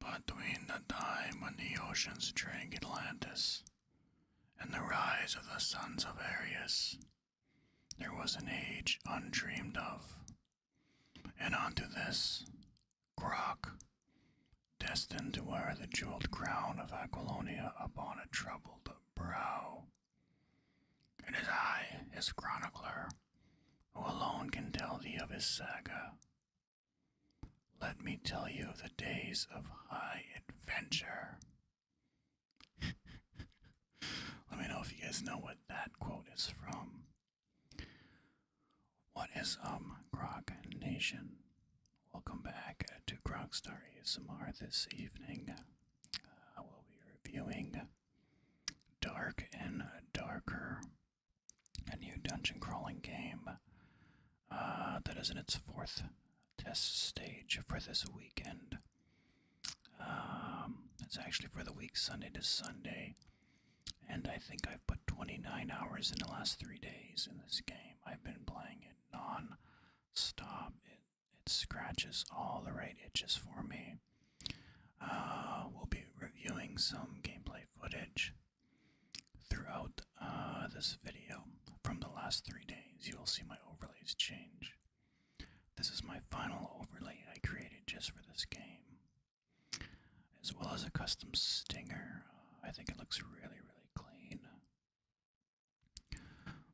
Between the time when the oceans drank Atlantis and the rise of the sons of Arius, there was an age undreamed of. And unto this, Croc, destined to wear the jeweled crown of Aquilonia upon a troubled brow. and It is I, his chronicler, who alone can tell thee of his saga, let me tell you the days of high adventure. Let me know if you guys know what that quote is from. What is um Grog Nation? Welcome back to Grogstar ASMR this evening. Uh, we'll be reviewing Dark and Darker a new dungeon crawling game uh, that is in its fourth test stage for this weekend. Um, it's actually for the week Sunday to Sunday, and I think I've put 29 hours in the last three days in this game. I've been playing it non stop. It, it scratches all the right itches for me. Uh, we'll be reviewing some gameplay footage Throughout uh, this video, from the last three days, you will see my overlays change. This is my final overlay I created just for this game, as well as a custom stinger. I think it looks really, really clean.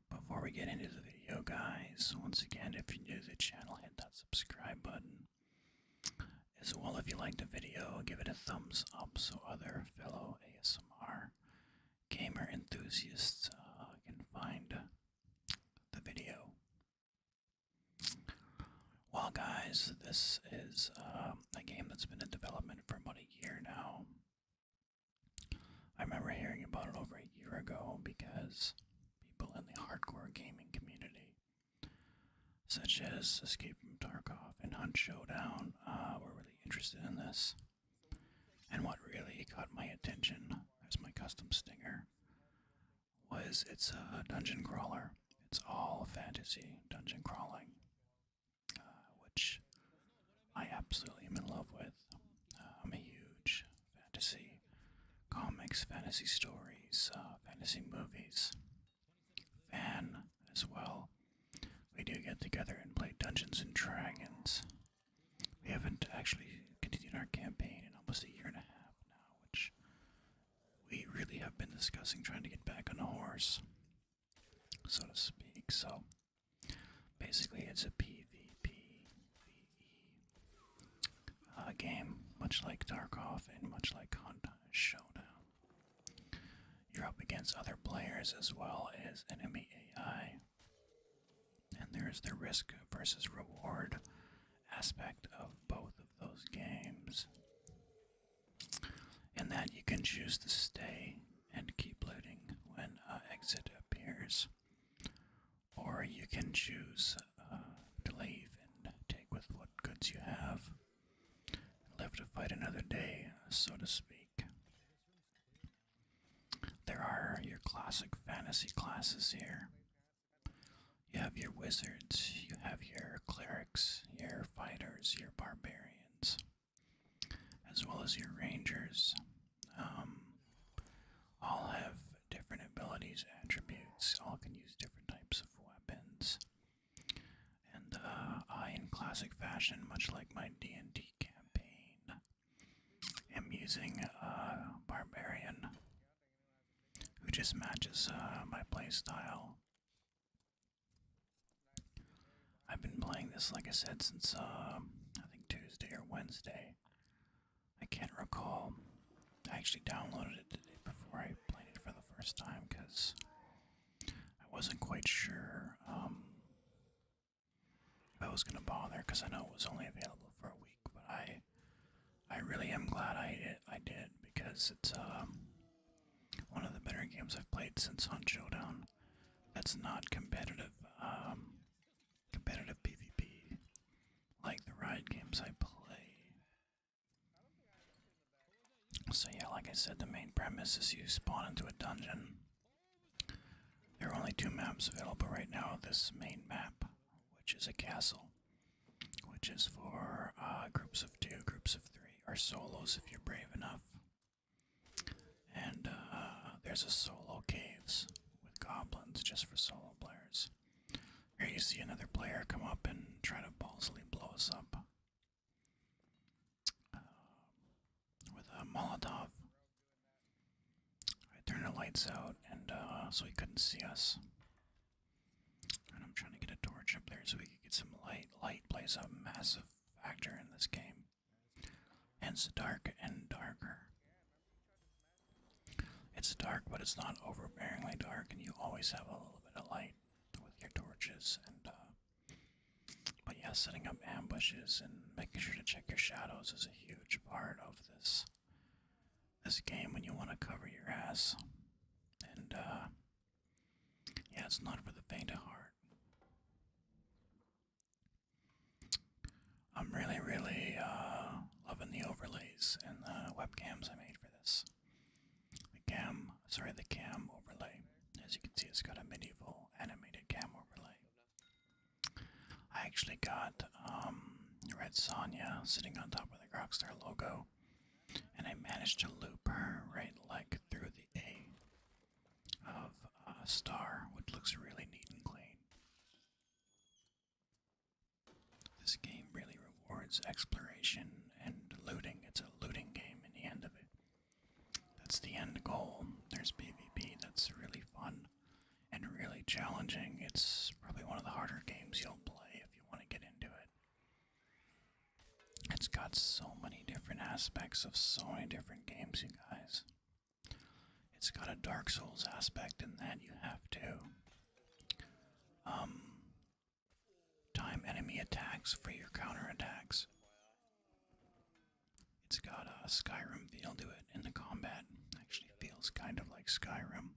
Before we get into the video, guys, once again, if you're new to the channel, hit that subscribe button as well. If you liked the video, give it a thumbs up so other fellow ASMR gamer enthusiasts uh, can find the video. Well, guys, this is um, a game that's been in development for about a year now. I remember hearing about it over a year ago because people in the hardcore gaming community such as Escape from Tarkov and Hunt Showdown, uh, were really interested in this. And what really caught my attention as my custom stinger was it's a dungeon crawler. It's all fantasy dungeon crawling, uh, which I absolutely am in love with. Uh, I'm a huge fantasy comics, fantasy stories, uh, fantasy movies fan as well. We do get together and play Dungeons and Dragons. We haven't actually continued our campaign in almost a year and a half now, which we really have been discussing trying to get back on a horse, so to speak. So basically, it's a PVP uh, game, much like Tarkov and much like Hunt uh, Showdown. You're up against other players as well as enemy AI. And there's the risk versus reward aspect of both of those games. And then you can choose to stay and keep looting when uh, exit appears, or you can choose uh, to leave and take with what goods you have. Live to fight another day, so to speak. There are your classic fantasy classes here. You have your wizards, you have your clerics, your fighters, your barbarians, as well as your rangers. Um, all have different abilities, attributes, all can use different types of weapons. And uh, I, in classic fashion, much like my D&D campaign, am using a uh, Barbarian, who just matches uh, my play style. I've been playing this, like I said, since I think Tuesday or Wednesday. I can't recall. I actually downloaded it today before I played it for the first time because I wasn't quite sure um, if I was gonna bother because I know it was only available for a week, but I I really am glad I did, I did because it's um, one of the better games I've played since on Showdown. That's not competitive um, competitive PvP like the ride games I play. So, yeah, like I said, the main premise is you spawn into a dungeon. There are only two maps available right now this main map, which is a castle, which is for uh, groups of two, groups of three, or solos if you're brave enough. And uh, there's a solo caves with goblins just for solo players. Here you see another player come up and try to balsily blow us up. Um, with a Molotov. I turned the lights out, and uh, so he couldn't see us. And I'm trying to get a torch up there so we could get some light. Light plays a massive factor in this game. Hence dark and darker. It's dark, but it's not overbearingly dark, and you always have a little bit of light with your torches and uh, but yeah, setting up ambushes and making sure to check your shadows is a huge part of this this game when you want to cover your ass. And uh, yeah, it's not for the faint of heart. I'm really, really uh, loving the overlays and the webcams I made for this. The cam, sorry, the cam overlay. As you can see, it's got a medieval animated cam overlay. I actually got um, Red Sonya sitting on top of the Rockstar logo, and I managed to loop her right like through the A of a uh, star, which looks really neat and clean. This game really rewards exploration and looting. It's a looting game in the end of it. That's the end goal. There's BVP. that's really fun and really challenging. It's probably one of the harder games you'll play if you want to get into it. It's got so many different aspects of so many different games, you guys. It's got a Dark Souls aspect in that you have to um, Time enemy attacks for your counter attacks. It's got a Skyrim feel to it, and the combat actually feels kind of like Skyrim.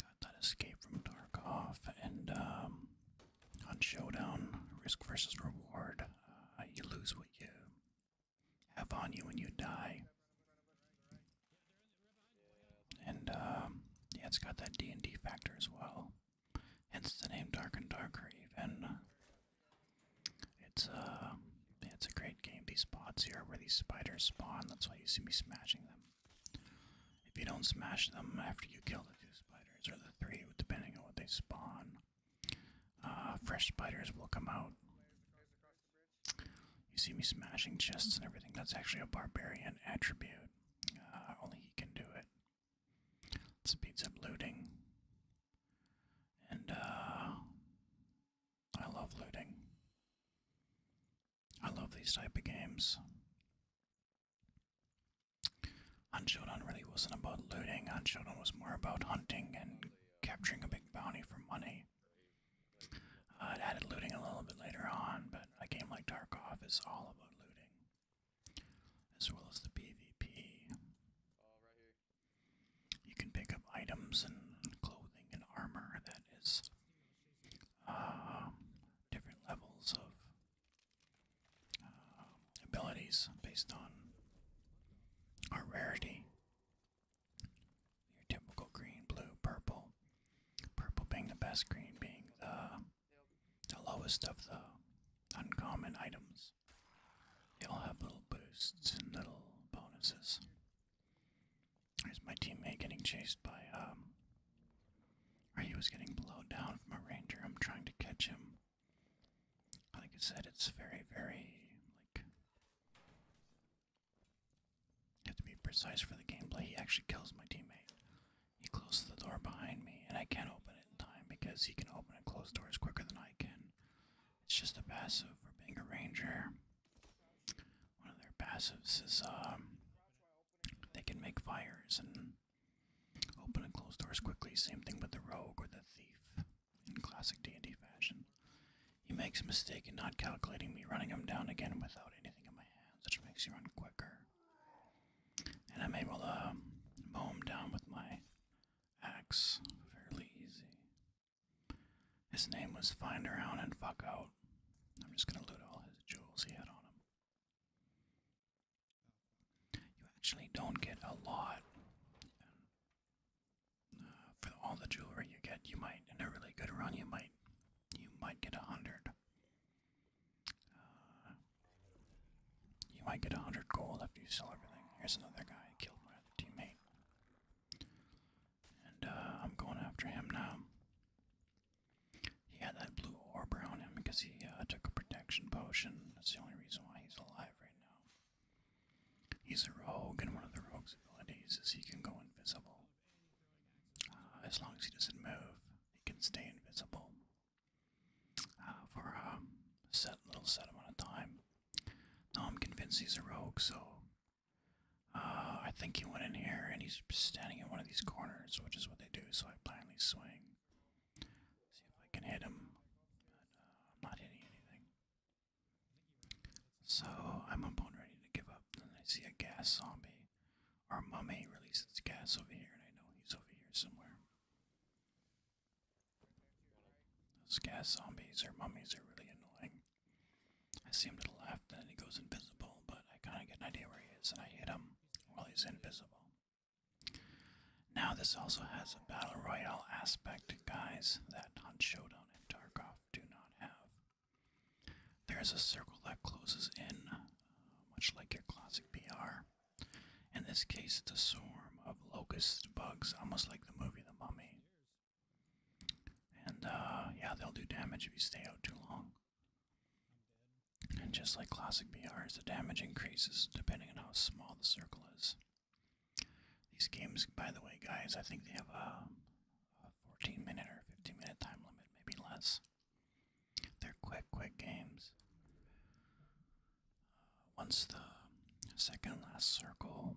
Got that escape from Darkov, and on um, Showdown, risk versus reward, uh, you lose what you have on you when you die. And um, yeah, it's got that D and D factor as well. Hence the name Dark and Darker. Even uh, it's uh, it's a great game. These spots here where these spiders spawn. That's why you see me smashing them. If you don't smash them after you kill the two spiders or the three, depending on what they spawn, uh, fresh spiders will come out. You see me smashing chests and everything. That's actually a barbarian attribute it. Uh, only he can do it. let beat up looting. And, uh, I love looting. I love these type of games. Unshodan really wasn't about looting, Unshodan was more about hunting and capturing a big bounty for money. Uh, I added looting a little bit later on, but a game like Dark Tarkov is all about looting, as well as the PvP. You can pick up items and clothing and armor that is um, different levels of um, abilities based on our rarity. Your typical green, blue, purple. Purple being the best, green being the the lowest of the uncommon items. They will have little boosts and little bonuses. Here's my teammate getting chased by, um, or he was getting blown down from a ranger. I'm trying to catch him. Like I said, it's very, very, like, have to be precise for the gameplay. He actually kills my teammate. He closes the door behind me, and I can't open it in time because he can open and close doors quicker than I can. It's just a passive for being a ranger. One of their passives is um, they can make fires and open and close doors quickly. Same thing with the rogue or the thief in classic D&D fashion. He makes a mistake in not calculating me running him down again without anything in my hands, which makes you run quicker. And I'm able to mow him down with my axe fairly easy. His name was Find Around and Fuck Out. I'm just gonna loot all his jewels he had on him. You actually don't get a lot. Uh, for all the jewelry you get, you might, in a really good run, you might you might get a hundred. Uh, you might get a hundred gold after you sell everything. Here's another guy killed my teammate. And uh, I'm going after him now. He had that blue orb around him because he uh, took a protection potion. That's the only reason why he's alive right now. He's a rogue, and one of the rogue's abilities is he can go invisible. Uh, as long as he doesn't move, he can stay invisible uh, for um, a set little set amount of time. Now I'm convinced he's a rogue, so uh, I think he went in here and he's standing in one of these corners, which is what they do. So I blindly swing, see if I can hit him. But I'm not hitting anything. So I'm about ready to give up. Then I see a gas zombie. Our mummy releases gas over here, and I know he's over here somewhere. Those gas zombies or mummies are really annoying. I see him to the left, and then he goes invisible, but I kind of get an idea where he is, and I hit him while he's invisible. Now, this also has a battle royale aspect, guys, that Hunt Showdown and Tarkov do not have. There is a circle that closes in, uh, much like your classic BR. In this case, it's a swarm of locust bugs, almost like the movie The Mummy. And uh, yeah, they'll do damage if you stay out too long. And just like classic BRs, the damage increases depending on how small the circle is. These games, by the way, guys, I think they have a 14 minute or 15 minute time limit, maybe less. They're quick, quick games. Uh, once the second last circle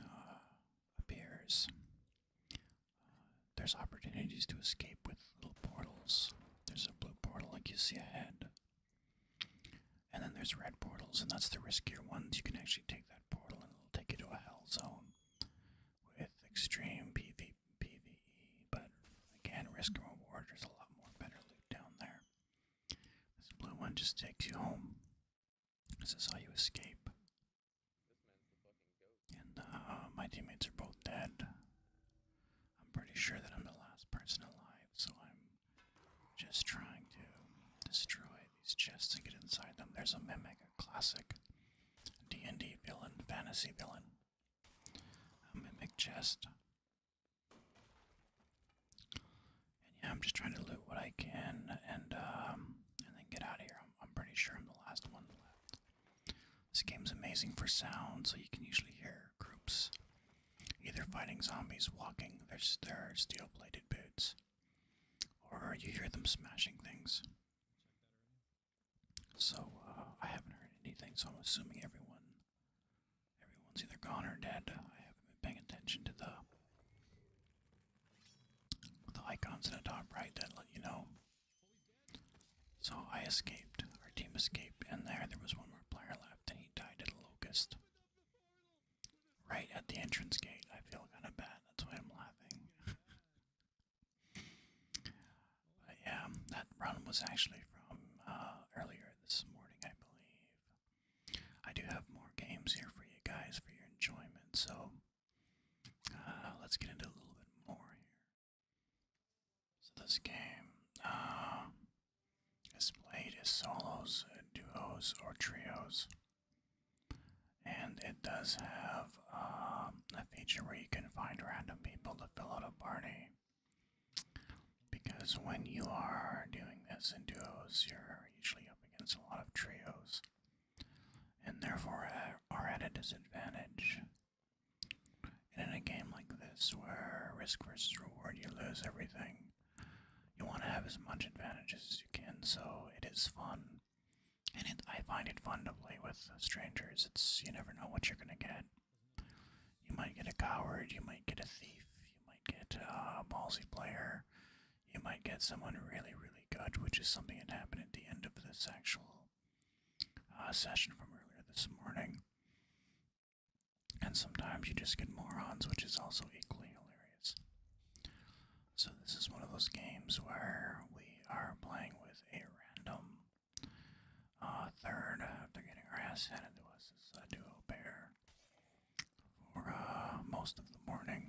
uh, appears, uh, there's opportunities to escape with little portals. There's a blue portal like you see ahead. And then there's red portals, and that's the riskier ones. You can actually take that portal and it'll take you to a hell zone with extreme PvP. PvE, but again, risk and reward, there's a lot more better loot down there. This blue one just takes you home. This is how you escape. And uh, my teammates are both dead. I'm pretty sure that I'm the last person alive, so I'm just trying to destroy these chests to get inside them. There's a mimic, a classic D&D villain, fantasy villain a mimic chest. And yeah, I'm just trying to loot what I can and um, and then get out of here. I'm, pretty sure I'm the last one left. This game's amazing for sound, so you can usually hear groups either fighting zombies walking their, their steel plated boots, or you hear them smashing things. So uh, I haven't heard anything. So I'm assuming everyone, everyone's either gone or dead. I haven't been paying attention to the the icons in the top right that let you know. So I escaped. Our team escaped, and there there was one more player left, and he died at a locust. Right at the entrance gate. I feel kind of bad. That's why I'm laughing. But um, yeah, that run was actually from uh, earlier this morning, I believe. I do have more games here for you guys for your enjoyment, so uh, let's get into a little bit more here. So this game uh, is played as solos, duos, or trios, and it does have um, a feature where you can find random people to fill out a party. Because when you are doing this in duos, you're usually up against a lot of trios, and therefore are at a disadvantage. And in a game like this, where risk versus reward, you lose everything, you want to have as much advantages as you can, so it is fun and it, I find it fun to play with strangers. It's you never know what you're gonna get. You might get a coward, you might get a thief, you might get a ballsy player, you might get someone really, really good, which is something that happened at the end of this actual uh, session from earlier this morning. And sometimes you just get morons, which is also equally hilarious. So, this is one of those games where we are playing with a random uh, third, after getting our ass handed to us, is uh, Duo Bear for uh, most of the morning.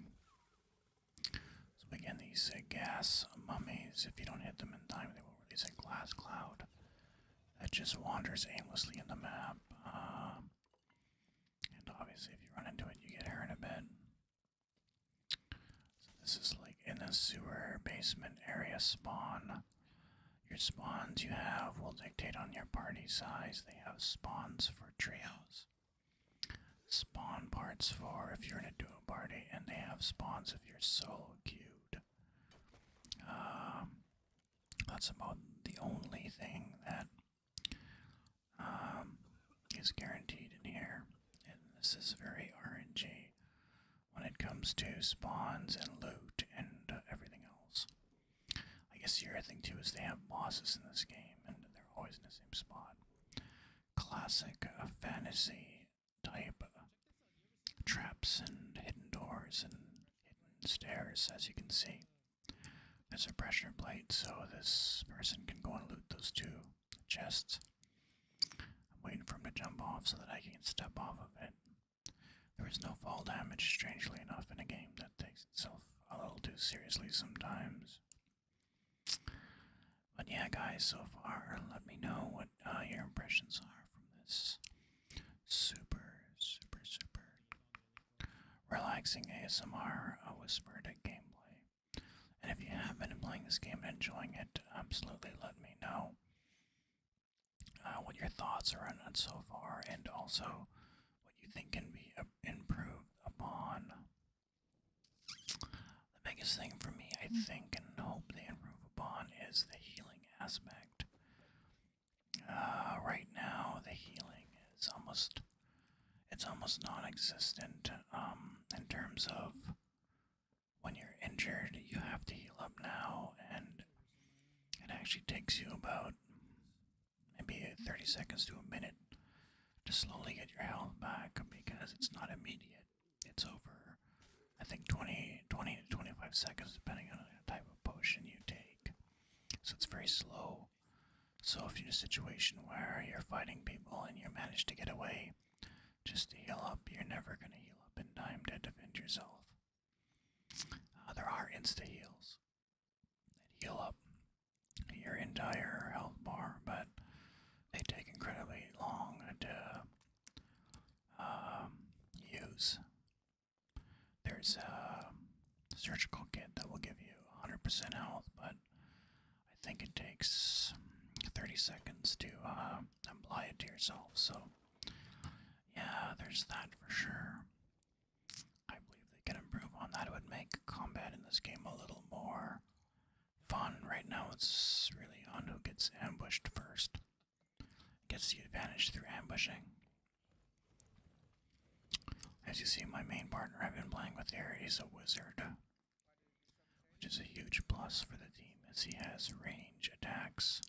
So again, these gas mummies, if you don't hit them in time, they will release a glass cloud that just wanders aimlessly in the map. Um, and obviously, if you run into it, you get hurt a bit this is like in a sewer basement area spawn. Your spawns you have will dictate on your party size. They have spawns for trios, spawn parts for if you're in a duo party, and they have spawns if you're solo cute. Um, that's about the only thing that um, is guaranteed in here, and this is very RNG when it comes to spawns and loot and uh, everything else. I guess the other thing too is they have bosses in this game and they're always in the same spot. Classic uh, fantasy type uh, traps and hidden doors and hidden stairs, as you can see. There's a pressure plate, so this person can go and loot those two. Just waiting for him to jump off so that I can step off of it. There is no fall damage, strangely enough, in a game that takes itself a little too seriously sometimes. But yeah, guys, so far, let me know what uh, your impressions are from this super, super, super relaxing ASMR a whispered gameplay. And if you have been playing this game and enjoying it, absolutely let me know. Uh, what your thoughts are on it so far, and also what you think can be improved upon. The biggest thing for me, I mm. think, and hope they improve upon is the healing aspect. Uh, right now, the healing is almost it's almost non-existent um, in terms of when you're injured, you have to heal up now, and it actually takes you about maybe 30 seconds to a minute to slowly get your health back because it's not immediate. It's over, I think, 20, 20 to 25 seconds, depending on the type of potion you take. So it's very slow. So if you're in a situation where you're fighting people and you manage to get away, just to heal up, you're never going to heal up in time to defend yourself. Uh, there are insta heals that heal up your entire health bar, but they take incredibly long to um, use. There's a surgical kit that will give you 100% health, but I think it takes 30 seconds to um, apply it to yourself. So, yeah, there's that for sure. I believe they can improve on that. It would make combat in this game a little more fun. Right now, it's really on who gets ambushed first, gets the advantage through ambushing. As you see, my main partner I've been playing with he's a wizard which is a huge plus for the team as he has range attacks,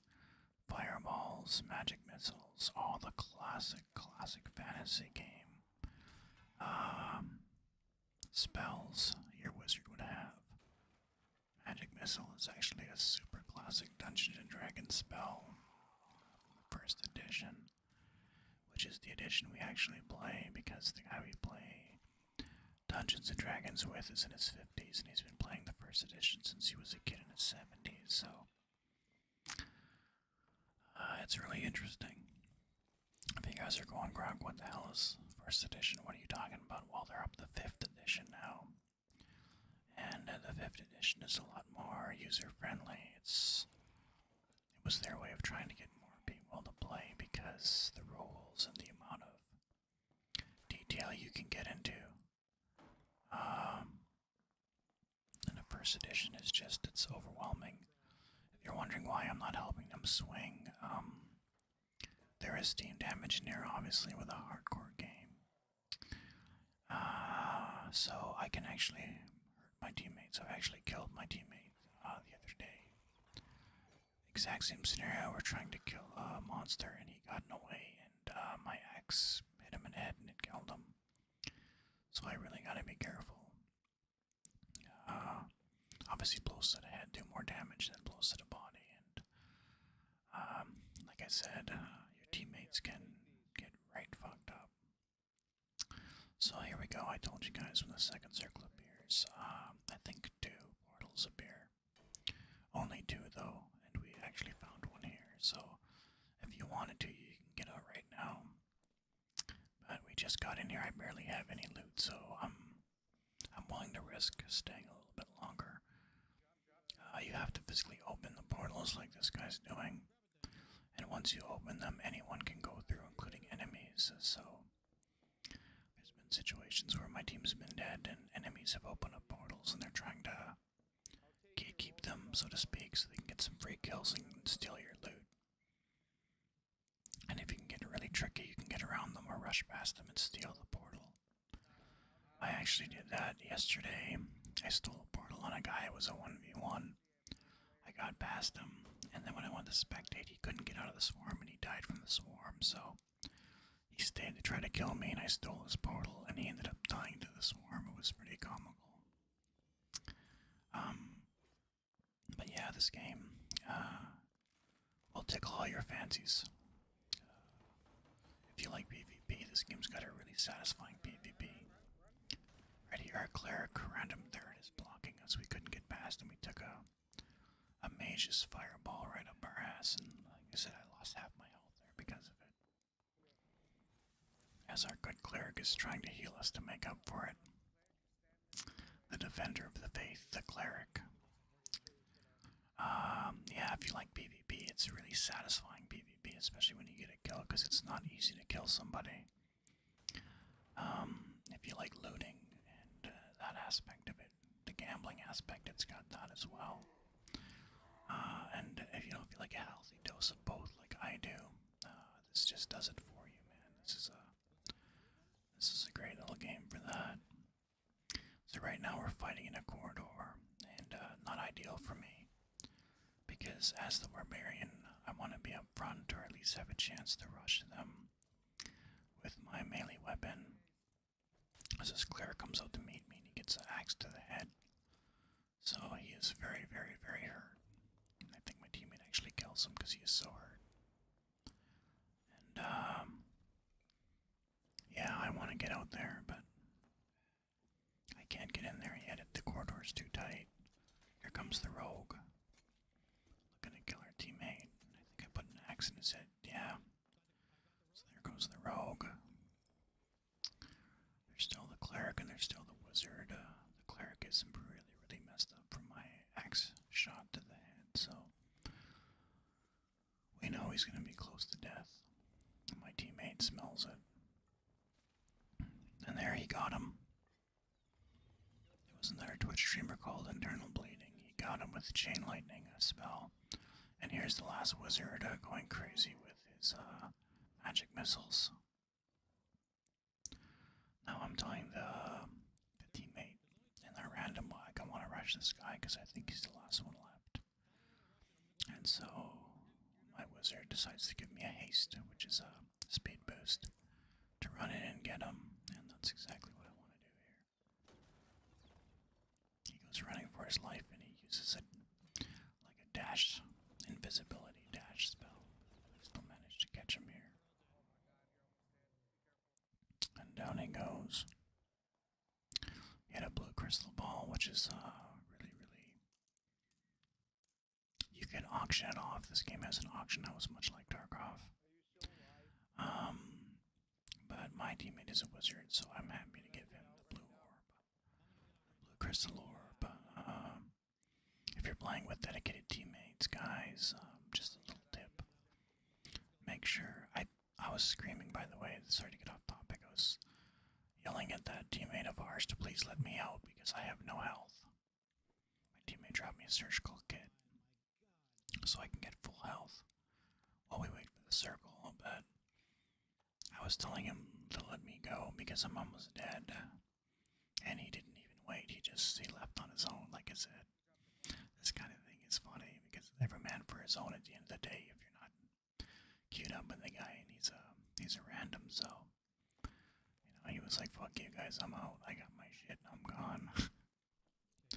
fireballs, magic missiles, all the classic, classic fantasy game um, spells your wizard would have. Magic Missile is actually a super classic Dungeons and Dragons spell, first edition, which is the edition we actually play because the guy we play Dungeons and Dragons with is in his 50s, and he's been playing the first edition since he was a kid in his 70s, so uh, it's really interesting. If you guys are going, Grog, what the hell is first edition? What are you talking about? Well, they're up to the fifth edition now. And uh, the fifth edition is a lot more user friendly. It's it was their way of trying to get more people to play because the rules and the amount of detail you can get into. Um, and a first edition is just, it's overwhelming. you're wondering why I'm not helping them swing, um, there is team damage in there, obviously, with a hardcore game. Uh, so I can actually hurt my teammates. I've actually killed my teammate uh, the other day exact same scenario. We're trying to kill a monster and he got in the way, and uh, my axe hit him in the head and it killed him. So I really gotta be careful. Uh, obviously, blows to the head do more damage than blows to the body, and um, like I said, uh, your teammates can get right fucked up. So here we go. I told you guys when the second circle appears. Um, I think two portals appear. Only two, though, and we actually found one here, so if you wanted to, you can get out right now. But we just got in here, I barely have any loot, so I'm, I'm willing to risk staying a little bit longer. Uh, you have to physically open the portals like this guy's doing, and once you open them, anyone can go through, including enemies, so there's been situations where my team's been dead and enemies have opened up portals and they're trying to keep them, so to speak, so they can get some free kills and steal your loot. And if you can get really tricky, you can get around them or rush past them and steal the portal. I actually did that yesterday. I stole a portal on a guy, it was a 1v1. I got past him, and then when I went to spectate, he couldn't get out of the swarm and he died from the swarm, so he stayed to try to kill me, and I stole his portal, and he ended up dying to the swarm. It was pretty comical. Um, but yeah, this game uh, will tickle all your fancies. Uh, if you like PvP, this game's got a really satisfying PvP. Right here, our cleric random third is blocking us. We couldn't get past, and we took a a mage just fireball right up our ass, and like I said, I lost half my health there because of it. As our good cleric is trying to heal us to make up for it. The defender of the faith, the cleric. Um, yeah, if you like PvP, it's really satisfying PvP, especially when you get a kill, because it's not easy to kill somebody. Um, if you like looting and uh, that aspect of it, the gambling aspect, it's got that as well. Uh, and if you don't feel like a healthy dose of both, like I do, uh, this just does it for you, man. This is a this is a great little game for that. So right now we're fighting in a corridor, and uh, not ideal for me, because as the barbarian, I want to be up front or at least have a chance to rush them with my melee weapon. As this Claire comes out to meet me he gets an axe to the head. So he is very, very, very hurt. I think my teammate actually kills him because he is so hurt. And, um, yeah, I want to get out there, but I can't get in there yet. The corridor's too tight. Here comes the rogue. Looking to kill our teammate. I think I put an axe in his head. Yeah. So there goes the rogue. There's still the cleric and there's still the wizard. Uh, the cleric is really, really messed up from my axe shot to the head, so we know he's going to be close to death. My teammate smells it. And there he got him. It was another Twitch streamer called Internal Bleeding. He got him with Chain Lightning spell. And here's the last wizard uh, going crazy with his uh, magic missiles. Now I'm telling the, teammate and the random like I want to rush this guy because I think he's the last one left. And so my wizard decides to give me a haste, which is a speed boost, to run in and get him. And that's exactly what I want to do here. He goes running for his life and he uses it like a dash invisibility dash spell. Still managed to catch him here. And down he goes. He had a blue crystal ball, which is uh, really, really. You can auction it off. This game has an auction house, much like Tarkov. Um, but my teammate is a wizard, so I'm happy to give him the blue blue crystal orb. Um, if you're playing with dedicated teammates, guys, um, just a little tip. Make sure I I was screaming by the way, sorry to get off topic. I was yelling at that teammate of ours to please let me out because I have no health. My teammate dropped me a surgical kit so I can get full health while we wait for the circle, but I was telling him to let me go because I'm almost dead. And he didn't even wait, he just he left on his own, like I said. This kind of thing is funny because every man for his own at the end of the day if you're not queued up with the guy and he's a he's a random, so you know, he was like, Fuck you guys, I'm out, I got my shit, I'm gone. So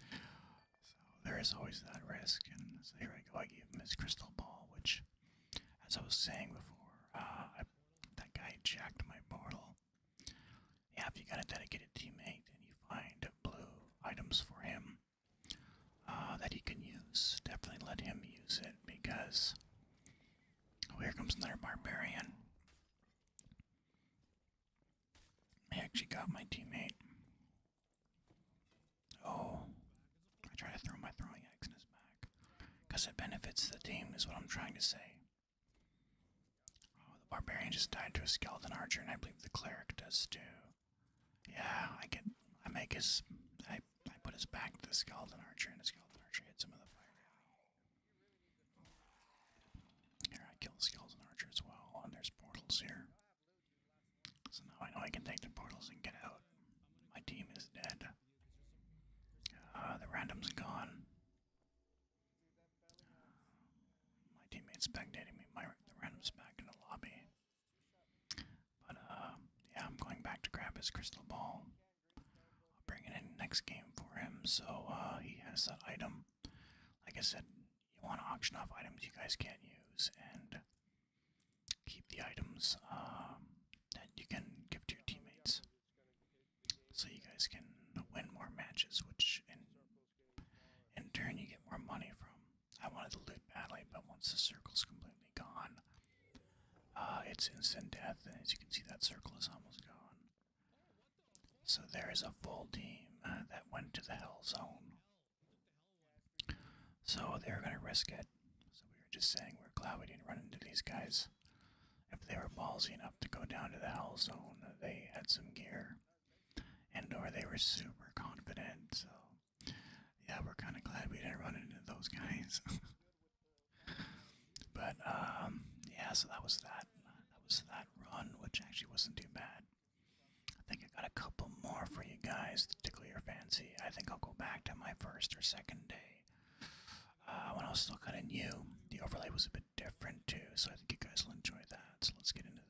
there is always that risk, and so here I go. I gave him his crystal ball, which, as I was saying before, uh, that guy jacked my portal. Yeah, if you got a dedicated teammate and you find blue items for him uh, that he can use, definitely let him use it because. Oh, here comes another barbarian. I actually got my teammate. Oh, I try to throw my throwing axe in his back. Because it benefits the team, is what I'm trying to say. Oh, the barbarian just died to a skeleton archer, and I believe the cleric does too. Yeah, I get. I make his. I, I put his back to the skeleton archer, and the skeleton archer hits him with a fire. Here, I kill the skeleton archer as well, and there's portals here. So now I know I can take the portals and get out. My team is dead. Uh, the random's gone. My teammate's spectating me. My the random's back in the lobby. But uh, yeah, I'm going back to grab his crystal ball. I'll bring it in next game for him, so uh, he has that item. Like I said, you want to auction off items you guys can't use and keep the items um, that you can give to your teammates so you guys can win more matches which in, turn you get more money from i wanted to loot badly but once the circle's completely gone uh, it's instant death and as you can see that circle is almost gone so there is a full team uh, that went to the hell zone so they were going to risk it. So we were just saying we're glad we didn't run into these guys. If they were ballsy enough to go down to the hell zone, they had some gear. And or they were super confident, so yeah, we're kind of glad we didn't run into those guys. but um, yeah, so that was that. That was that run, which actually wasn't too bad. I think I got a couple more for you guys to tickle your fancy. I think I'll go back to my first or second day. Uh, when I was still kind of new, the overlay was a bit different too, so I think you guys will enjoy that. So let's get into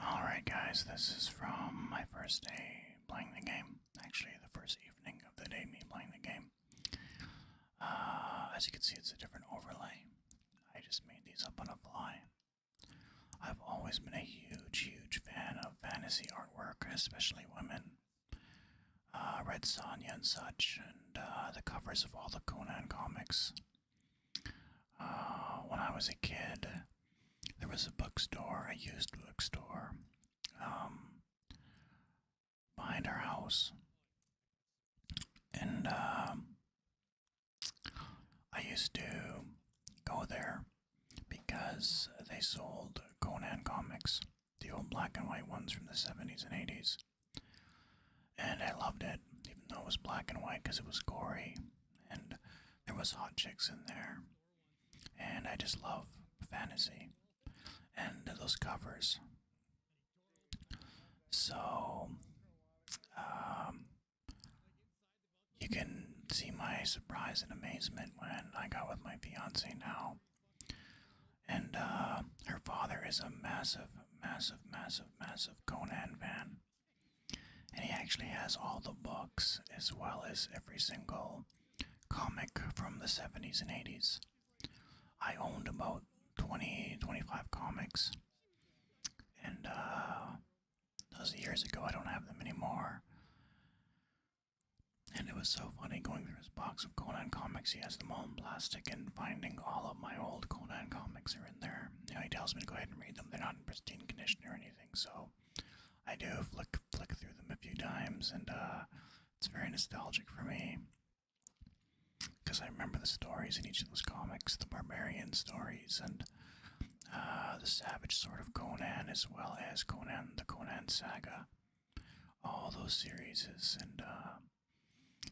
that. Alright, guys, this is from my first day playing the game. Actually, the first evening of the day, me playing the game. Uh, as you can see, it's a different overlay. I just made these up on a fly. I've always been a huge, huge fan of fantasy artwork, especially women. Uh, Red Sonja and such, and uh, the covers of all the Conan comics. Uh, when I was a kid, there was a bookstore, a used bookstore, um, behind our house. And um, I used to go there because they sold Conan comics, the old black and white ones from the 70s and 80s. And I loved it, even though it was black and white because it was gory and there was hot chicks in there. And I just love fantasy and those covers so, um, you can see my surprise and amazement when I got with my fiance now. And uh, her father is a massive, massive, massive, massive Conan fan. And he actually has all the books as well as every single comic from the 70s and 80s. I owned about 20, 25 comics, and uh, those years ago. I don't have them anymore. And it was so funny going through his box of Conan comics. He has them all in plastic, and finding all of my old Conan comics are in there. You he tells me to go ahead and read them. They're not in pristine condition or anything, so I do flick flick through them a few times, and uh, it's very nostalgic for me because I remember the stories in each of those comics, the barbarian stories, and uh, the savage sort of Conan, as well as Conan the Conan Saga, all those series, and uh,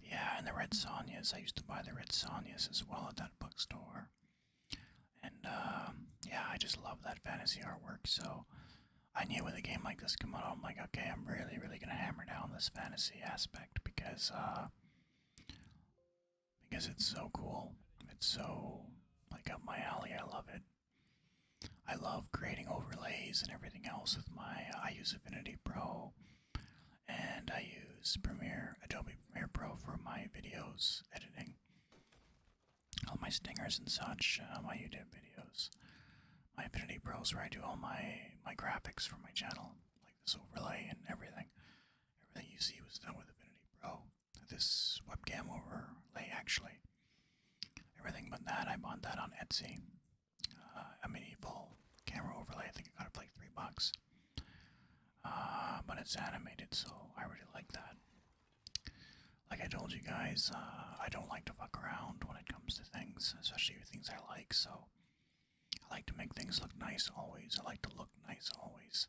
yeah, and the Red Sonjas. I used to buy the Red Sonjas as well at that bookstore, and um, yeah, I just love that fantasy artwork. So I knew with a game like this come out, I'm like, okay, I'm really, really gonna hammer down this fantasy aspect because uh, because it's so cool. It's so like up my alley. I love it. I love creating overlays and everything else with my uh, I use Affinity Pro and I use Premiere Adobe Premiere Pro for my videos editing all my stingers and such uh, my YouTube videos my Infinity Pro where I do all my my graphics for my channel, like this overlay and everything. Everything you see was done with Infinity Pro. This webcam overlay actually. Everything but that, I bought that on Etsy. Uh, a medieval camera overlay. I think I got it for like three bucks. Uh, but it's animated, so I really like that. Like I told you guys, uh, I don't like to fuck around when it comes to things, especially things I like. So I like to make things look nice always. I like to look nice always.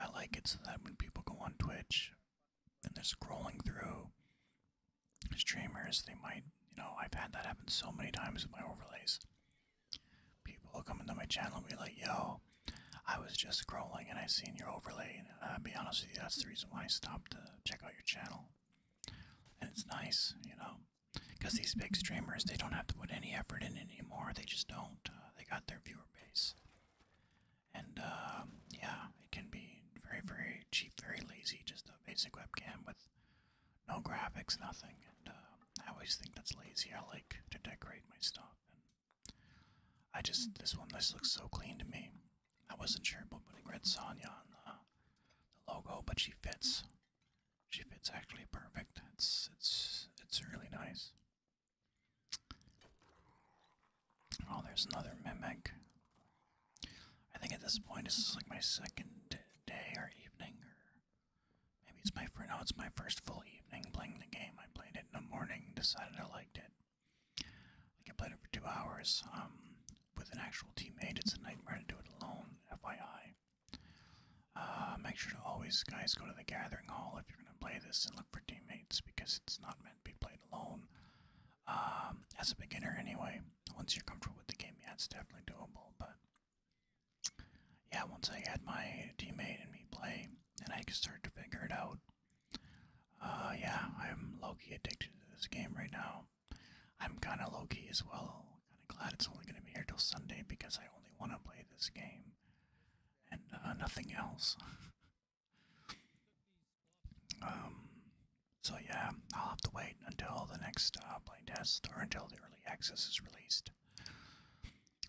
I like it so that when people go on Twitch and they're scrolling through streamers, they might, you know, I've had that happen so many times with my overlays. People will come into my channel and be like, yo, I was just scrolling and I seen your overlay. And i uh, be honest with you, that's the reason why I stopped to check out your channel. And it's nice, you know because these big streamers they don't have to put any effort in anymore they just don't uh, they got their viewer base and um, yeah it can be very very cheap very lazy just a basic webcam with no graphics nothing and uh, i always think that's lazy i like to decorate my stuff and i just this one this looks so clean to me i wasn't sure about putting red sonya on the the logo, but she fits. She fits actually perfect. It's it's it's really nice. Oh, there's another mimic. I think at this point this is like my second day or evening, or maybe it's my first. No, it's my first full evening playing the game. I played it in the morning, decided I liked it. Like I played it for two hours. Um, with an actual teammate. It's a nightmare to do it alone, FYI. Uh, make sure to always, guys, go to the Gathering Hall if you're going to play this and look for teammates because it's not meant to be played alone. Um, as a beginner, anyway, once you're comfortable with the game, yeah, it's definitely doable. But yeah, once I had my teammate and me play, and I could start to figure it out. Uh, yeah, I'm Loki addicted to this game right now. I'm kind of low key as well. Kind of glad it's only going to be here till Sunday because I only want to play this game and uh, nothing else. um, so yeah, I'll have to wait until the next playtest uh, or until the early access is released.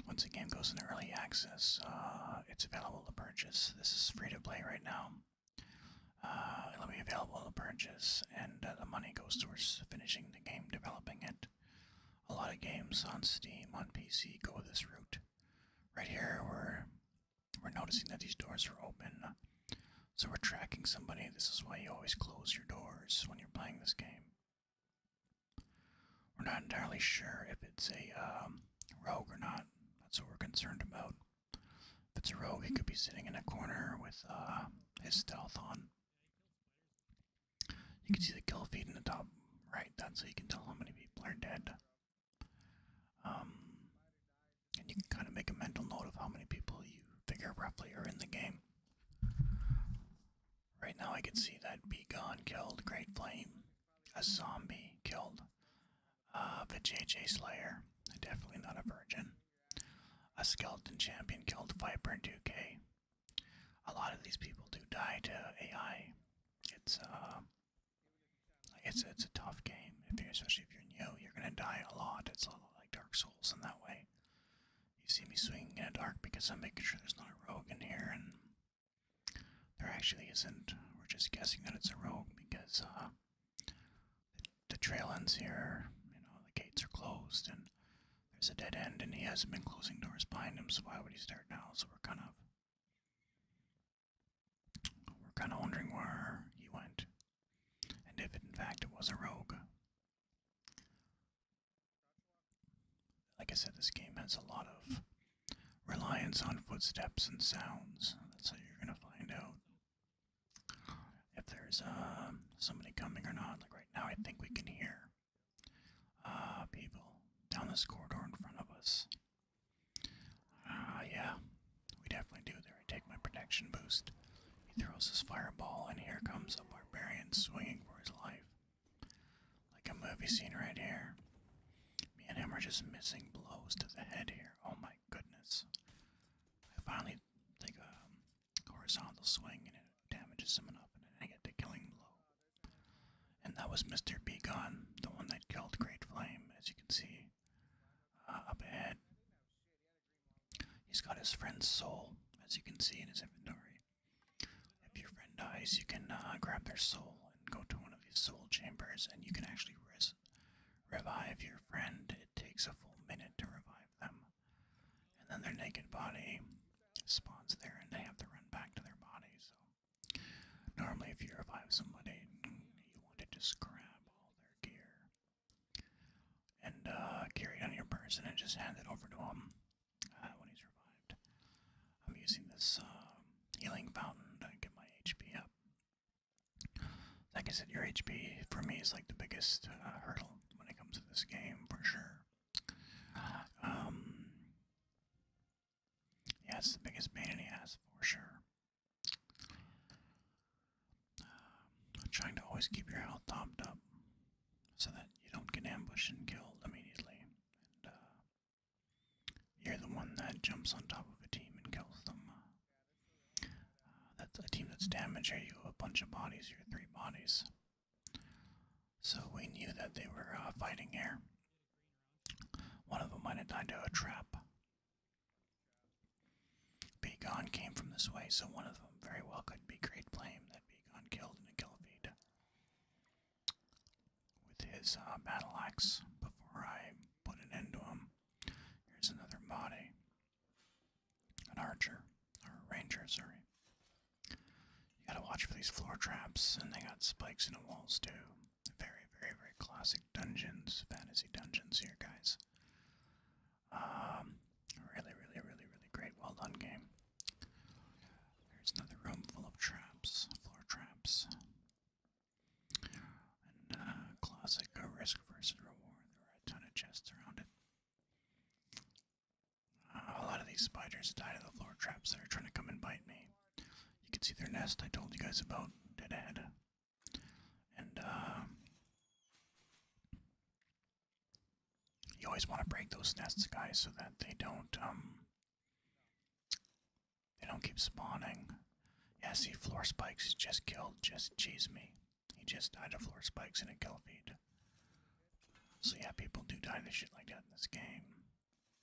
Once the game goes into early access, uh, it's available to purchase. This is free to play right now. Uh, it'll be available to purchase, and uh, the money goes towards finishing the game, developing it. A lot of games on Steam, on PC, go this route. Right here, we're we're noticing that these doors are open, so we're tracking somebody. This is why you always close your doors when you're playing this game. We're not entirely sure if it's a um, rogue or not. That's what we're concerned about. If it's a rogue, he could be sitting in a corner with uh, his stealth on. You can see the kill feed in the top right. That's so you can tell how many people are dead. Um, and you can kind of make a mental note of how many people you figure roughly are in the game. Right now, I can see that Begone killed Great Flame, a zombie killed uh, the JJ Slayer, definitely not a virgin. A skeleton champion killed Viper in 2K. A lot of these people do die to AI. It's uh, it's it's a tough game. If you especially if you're new, you're gonna die a lot. It's a lot like Dark Souls in that way. You see me swinging in a dark because I'm making sure there's not a rogue in here, and there actually isn't. We're just guessing that it's a rogue because uh, the trail ends here. You know, the gates are closed and there's a dead end, and he hasn't been closing doors behind him, so why would he start now? So we're kind of. We're kind of wondering where he went, and if in fact it was a rogue. Like I said, this game has a lot of reliance on footsteps and sounds. That's how you're gonna find out if there's uh, somebody coming or not. Like right now, I think we can hear uh, people down this corridor in front of us. Uh, yeah, we definitely do. There, I take my protection boost. He throws his fireball, and here comes a barbarian swinging for his life. Like a movie scene right here. Me and him are just missing blows to the head here. Oh my goodness. I finally think um, horizontal swing and it damages someone up in a negative killing blow. And that was Mr. B Gun, the one that killed Great Flame, as you can see uh, up ahead. He's got his friend's soul, as you can see in his inventory. If your friend dies, you can uh, grab their soul and go to one of these soul chambers, and you can actually res revive your friend. It takes a full minute to revive them. And then their naked body spawns there and they have to run back to their body. So, normally, if you revive somebody, you want to just grab all their gear and uh, carry it on your person and just hand it over to him uh, when he's revived. I'm using this uh, healing fountain to get my HP up. Like I said, your HP for me is like the biggest uh, hurdle when it comes to this game for sure. Um, yeah, it's the biggest pain in the ass for sure. trying to always keep your health topped up so that you don't get ambushed and killed immediately. Uh, you're the one that jumps on top of a team and kills them. Uh, that's a team that's damaged. Are you a bunch of bodies? You're three bodies. So we knew that they were uh, fighting here. One of them might have died to a trap. Begon came from this way, so one of them very well could be Great Flame that Begon killed in a Gilvade with his uh, battle axe before I put an end to him. Here's another body an archer or a ranger, sorry. You gotta watch for these floor traps, and they got spikes in the walls too. Very, very, very classic dungeons, fantasy dungeons here, guys. Um, really, really, really, really great. Well done, game. There's another room full of traps, floor traps. And uh, classic risk versus reward. There are a ton of chests around it a lot of these spiders die to the floor traps that are trying to come and bite me. You can see their nest I told you guys about dead And uh, you always want to break those nests, guys, so that they don't um they don't keep spawning. Yeah, see floor spikes just killed, just cheese me. He just died of floor spikes in a kill feed. So yeah, people do die to shit like that in this game.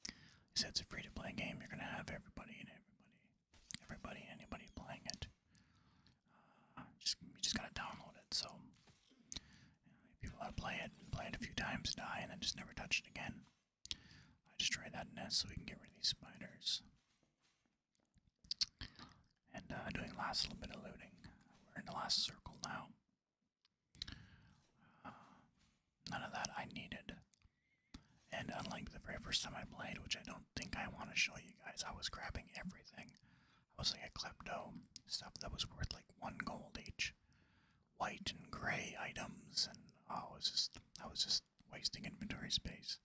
He said it's a free-to-play game. You're gonna have everybody and everybody, everybody, and anybody playing it. Uh, just you just gotta download it. So people know, to play it, play it a few times, die, and then just never touch it again. I destroy that nest so we can get rid of these spiders. And uh, doing last little bit of looting. We're in the last circle now. Uh, none of that I needed. And unlike the very first time I played, which I don't think I want to show you guys, I was grabbing everything. I was like a klepto, stuff that was worth like one gold each. White and gray items, and I was just I was just wasting inventory space.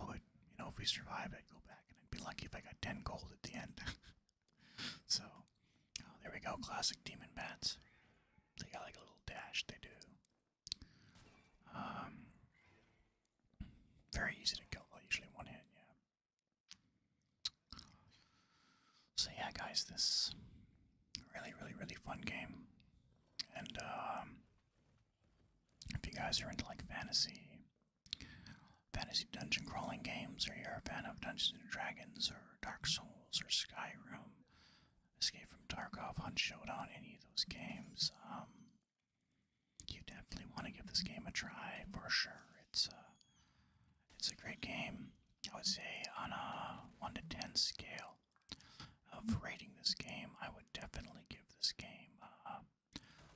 I would, you know, if we survive, I'd go back and I'd be lucky if I got 10 gold at the end. so, oh, there we go. Classic demon bats. They got like a little dash, they do. Um, very easy to kill, though, usually one hit, yeah. So, yeah, guys, this really, really, really fun game. And, um, if you guys are into like fantasy Fantasy dungeon crawling games, or you're a fan of Dungeons and Dragons, or Dark Souls, or Skyrim, Escape from Tarkov, Hunt Showdown, any of those games, um, you definitely want to give this game a try for sure. It's a, uh, it's a great game. I would say on a 1 to 10 scale of rating this game, I would definitely give this game uh,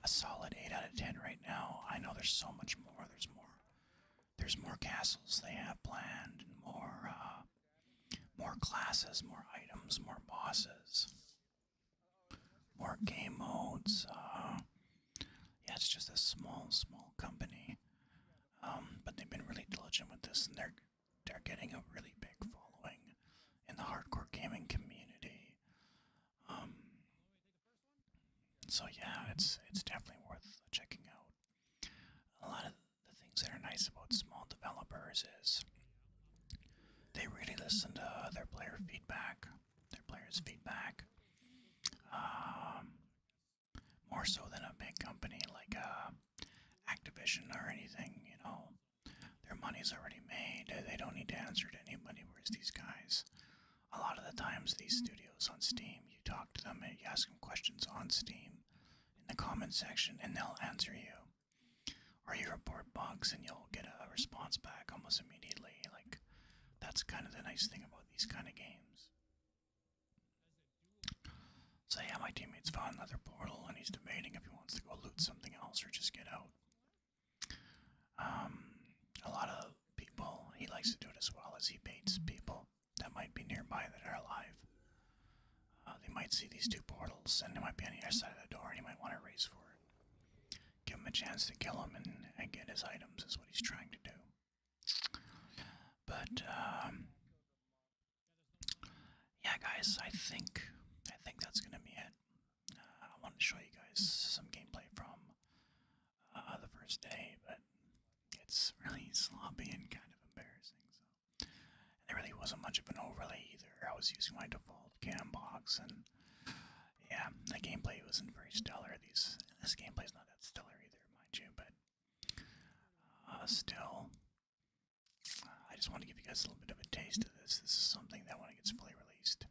a solid 8 out of 10 right now. I know there's so much more. There's more. There's more castles they have planned, and more, uh, more classes, more items, more bosses, more game modes. Uh, yeah, it's just a small, small company, um, but they've been really diligent with this, and they're they're getting a really big following in the hardcore gaming community. Um, so yeah, it's it's definitely worth checking out. A lot of the things that are nice about small developers is they really listen to their player feedback, their players' feedback, um, more so than a big company like uh, Activision or anything. You know, their money's already made. They don't need to answer to anybody. Whereas these guys, a lot of the times, these studios on Steam, you talk to them and you ask them questions on Steam in the comment section, and they'll answer you. Or you report bugs and you'll get a response back almost immediately. Like, that's kind of the nice thing about these kind of games. So, yeah, my teammate's found another portal and he's debating if he wants to go loot something else or just get out. Um, a lot of people, he likes to do it as well as he baits mm-hmm. people that might be nearby that are alive. Uh, they might see these two portals and they might be on the other side of the door and he might want to race for it. Give him a chance to kill him and, and get his items is what he's trying to do. But, um, yeah guys, I think, I think that's going to be it. I wanted to show you guys some gameplay from uh, the first day, but it's really sloppy and kind of embarrassing. So, and there really wasn't much of an overlay either. I was using my default cam box, and yeah, the gameplay wasn't very stellar. These this is not that stellar either, mind you, but uh, still. I just want to give you guys a little bit of a taste of this. This is something that when it gets fully released,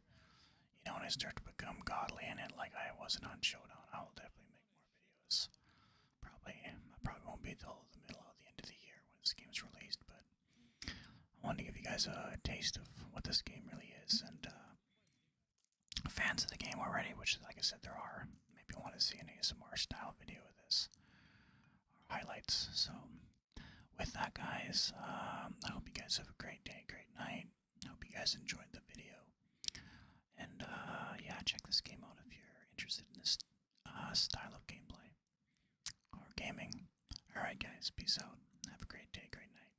you know, when I start to become godly in it, like I wasn't on Showdown, I will definitely make more videos. Probably, I probably won't be till the middle of the end of the year when this game's released, but I wanted to give you guys a taste of what this game really is, and uh, fans of the game already, which, like I said, there are, maybe want to see an ASMR-style video of this, highlights, so with that, guys, um, I hope you guys have a great day, great night. hope you guys enjoyed the video. And uh, yeah, check this game out if you're interested in this uh, style of gameplay or gaming. Alright, guys, peace out. Have a great day, great night.